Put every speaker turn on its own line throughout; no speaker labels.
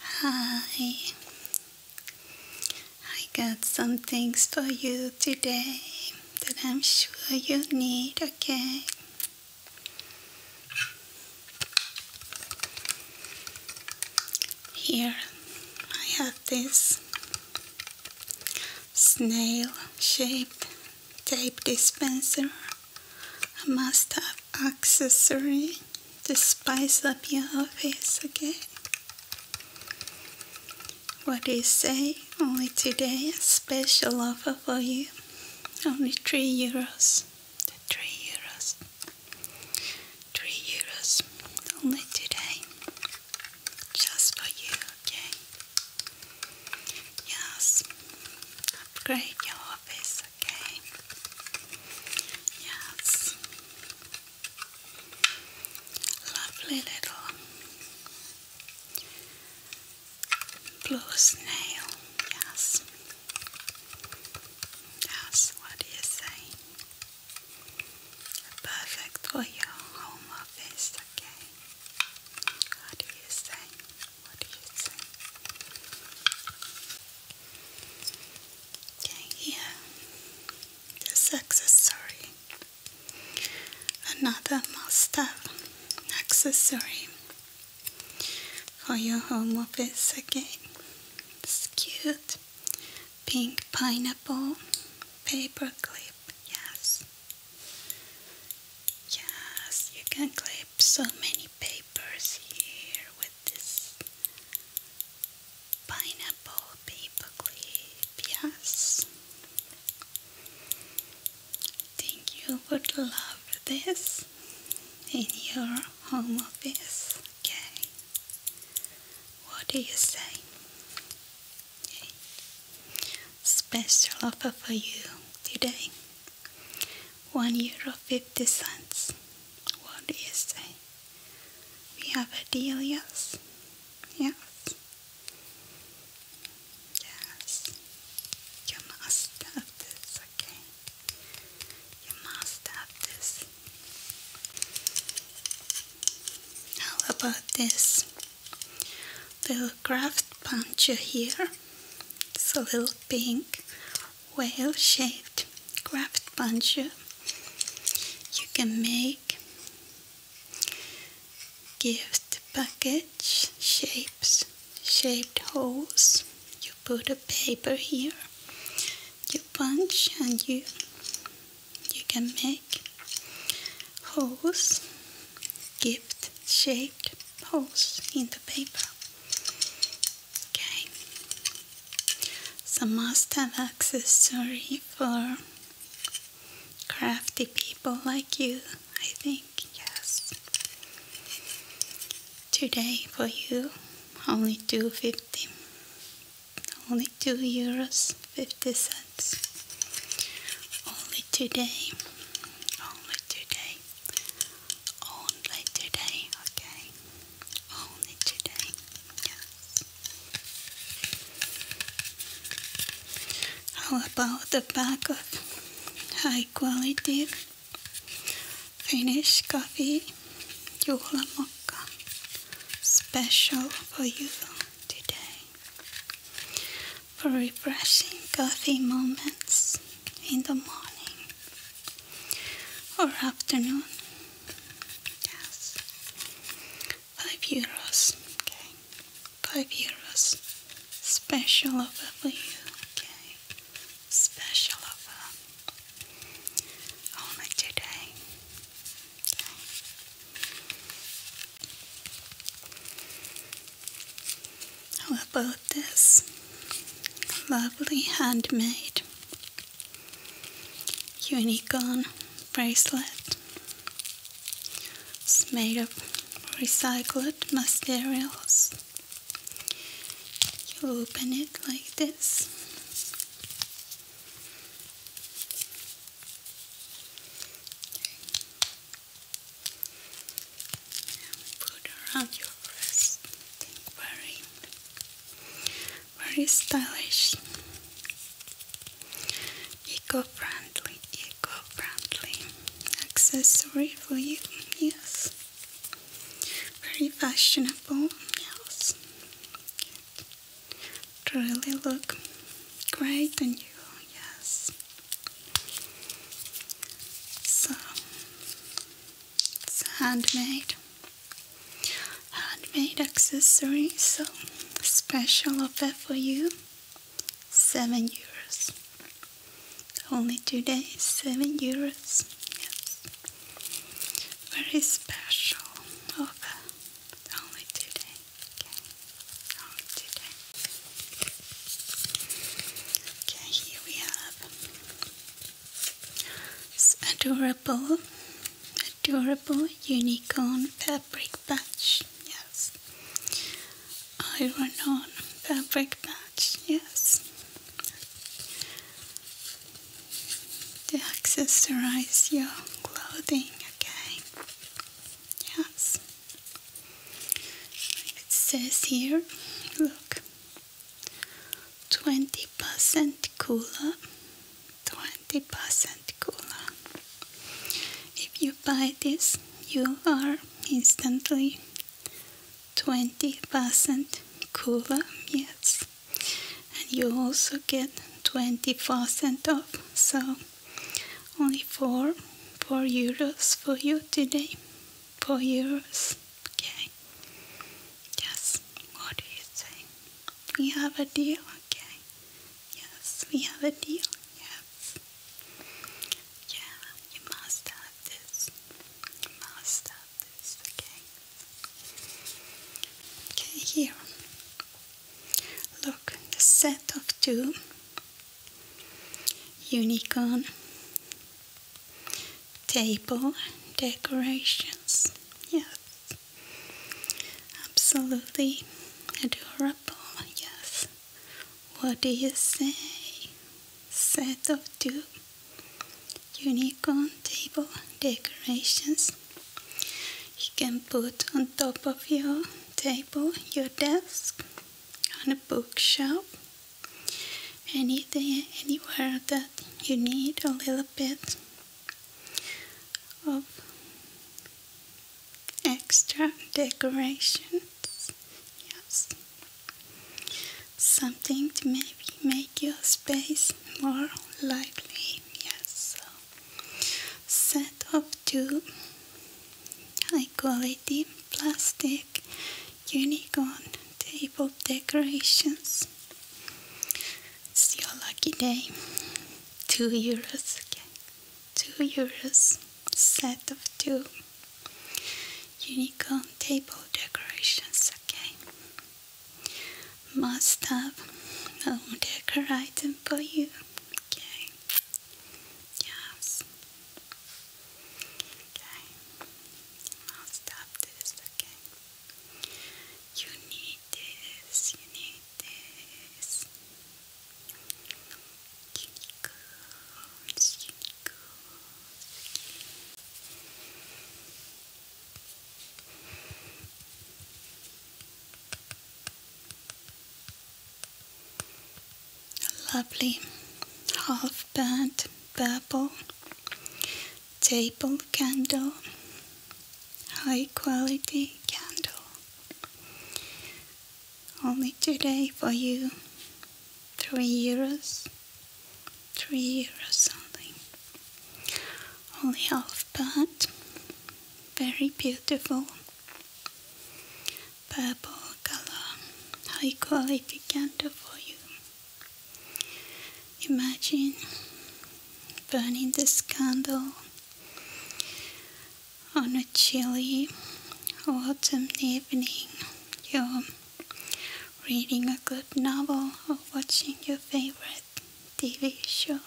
Hi, I got some things for you today that I'm sure you need, okay? Here I have this snail shaped tape dispenser a must-have accessory to spice up your office, again. What do you say? Only today, a special offer for you. Only 3 euros. 3 euros. 3 euros. Only today. Just for you, okay? Yes. Upgrade your office, okay? Yes. Lovely little blue snail, yes. Yes, what do you say? Perfect for your home office, okay? What do you say? What do you think? Okay, here. This accessory. Another must-have accessory for your home office again. It's cute. Pink pineapple paper clip. Yes. Yes, you can clip so many papers here with this pineapple paperclip, yes. I think you would love this in your home office, okay? What do you say? Special offer for you today one euro fifty cents. What do you say? We have a deal, yes? Yes. You must have this, okay? You must have this. How about this little craft puncher here? It's a little pink whale-shaped craft puncher. You can make gift package shapes, shaped holes. You put a paper here, you punch and you you can make holes, gift shaped holes in the paper. Okay. So must have accessory for crafty people like you, I think, yes. Today for you, only 250 only 2 euros 50 cents only today only today only today, okay? Only today, How about the pack of high quality Finnish coffee Juhla Mokka special for you today? for refreshing coffee moments in the morning or afternoon. Yes, five euros. Okay, five euros. Special offer for you. Okay, special offer only today. Okay. How about this? Lovely handmade unicorn bracelet. It's made of recycled materials. You open it like this put around your breast. Very, very stylish. Eco-friendly, eco-friendly accessory for you. Yes. Very fashionable. Yes. Good. Really look great on you. Yes. So it's handmade, handmade accessory. So special offer for you, seven euros. Only today, seven euros. Yes, very special offer. Only today okay. it's okay. Okay, here we have this adorable, adorable unicorn fabric patch. Yes, iron on fabric patch. Yes, to accessorize your clothing. Okay. Yes. It says here, look, 20% cooler, 20% cooler. If you buy this, you are instantly 20% cooler, yes. And you also get 20% off, so only four, four euros for you today. Four euros. Okay. Yes. What do you say? We have a deal. Okay. Yes, we have a deal. Yes. Yeah, you must have this. You must have this. Okay. Okay, here. Look, the set of two unicorn table decorations. Yes, absolutely adorable. Yes, what do you say? Set of two unicorn table decorations you can put on top of your table your desk, on a bookshelf, anything, anywhere that you need a little bit of extra decorations. Yes, something to maybe make your space more lively. Yes, so set up two high quality plastic unicorn table decorations. It's your lucky day. Two euros, okay. Two euros, set of two unicorn table decorations, okay. Must have home decor item for you. Okay. Yes. Okay. I'll stop this, okay? You need this, you need this. Unicorns, unicorns. Okay lovely half burnt purple table candle, high quality candle, only today for you, three euros, three euros something, only half but very beautiful purple color, high quality candle for you. Imagine burning this candle on a chilly autumn evening. You're reading a good novel or watching your favorite TV show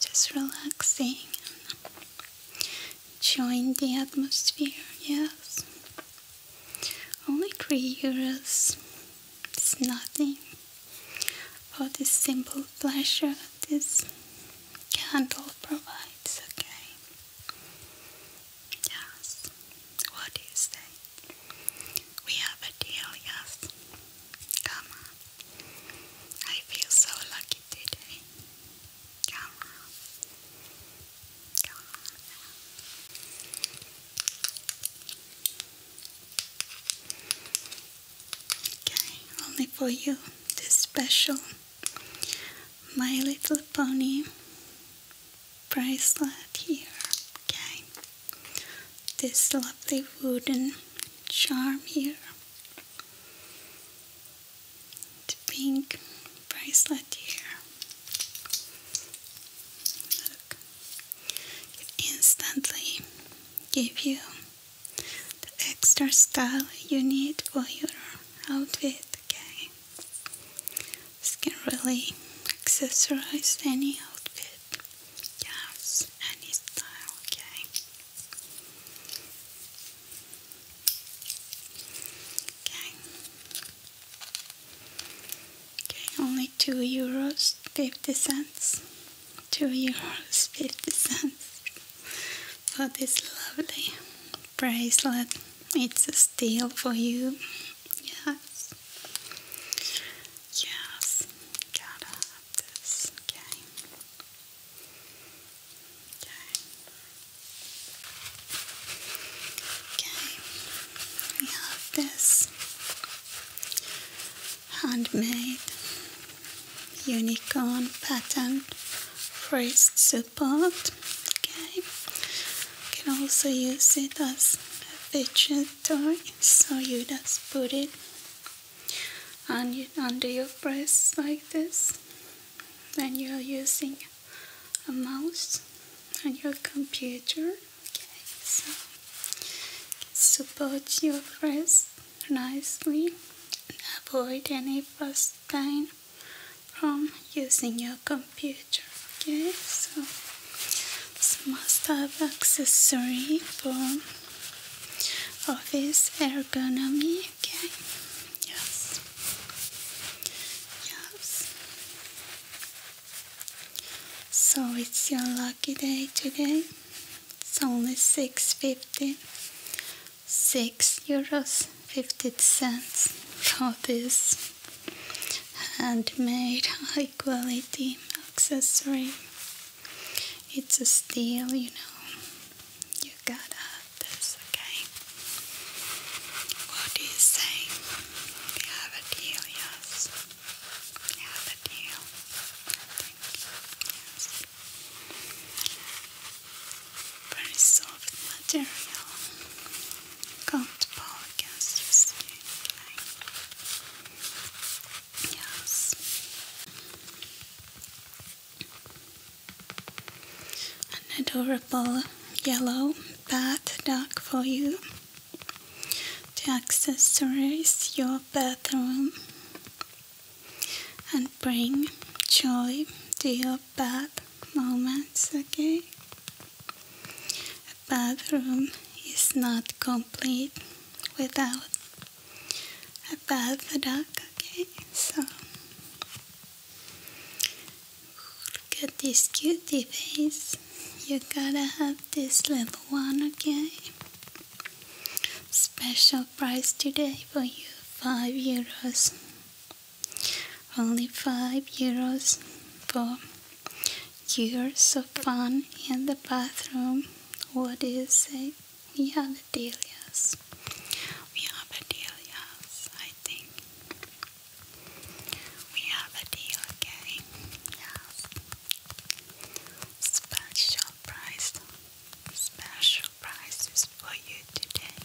just relaxing, enjoying the atmosphere, yes. Only 3 euros, it's nothing for this simple pleasure this candle provides, okay? Yes, what do you say? We have a deal, yes. Come on. I feel so lucky today. Come on. Come on. Okay, only for you. This special My Little Pony bracelet here. Okay this lovely wooden charm here. The pink bracelet here. instantly give you the extra style you need for your outfit. Okay, this can really accessorize any outfit. Yes, any style, okay. Okay. Okay, only two euros fifty cents. Two euros fifty cents for this lovely bracelet. It's a steal for you. Yes. Yes got have this, okay? We have this handmade unicorn pattern wrist support. Okay. can also use it as a vegetable so you just put it on you, under your breast like this when you're using a mouse on your computer okay so support your breast nicely avoid any first time from using your computer okay so this must-have accessory for office ergonomics. Yes. Yes. So it's your lucky day today. It's only six euros fifty cents for this handmade high quality accessory. It's a steal, you know. You gotta have this, okay? What do you say? We have a deal, yes. We have a deal. Very soft material kom tillbaka just nu. Yes. An adorable yellow bath dog for you The accessories your bathroom and bring joy to your bath moments, okay? A bathroom is not complete without a bath duck, okay? So look at this cutie face. You gotta have this little one, again. Special price today for you, 5 euros. Only 5 euros for you're so fun in the bathroom. What do you say? We are the Delias. We are the Delias, I think. We are the deal, okay? Yes. Special price. Special prizes for you today.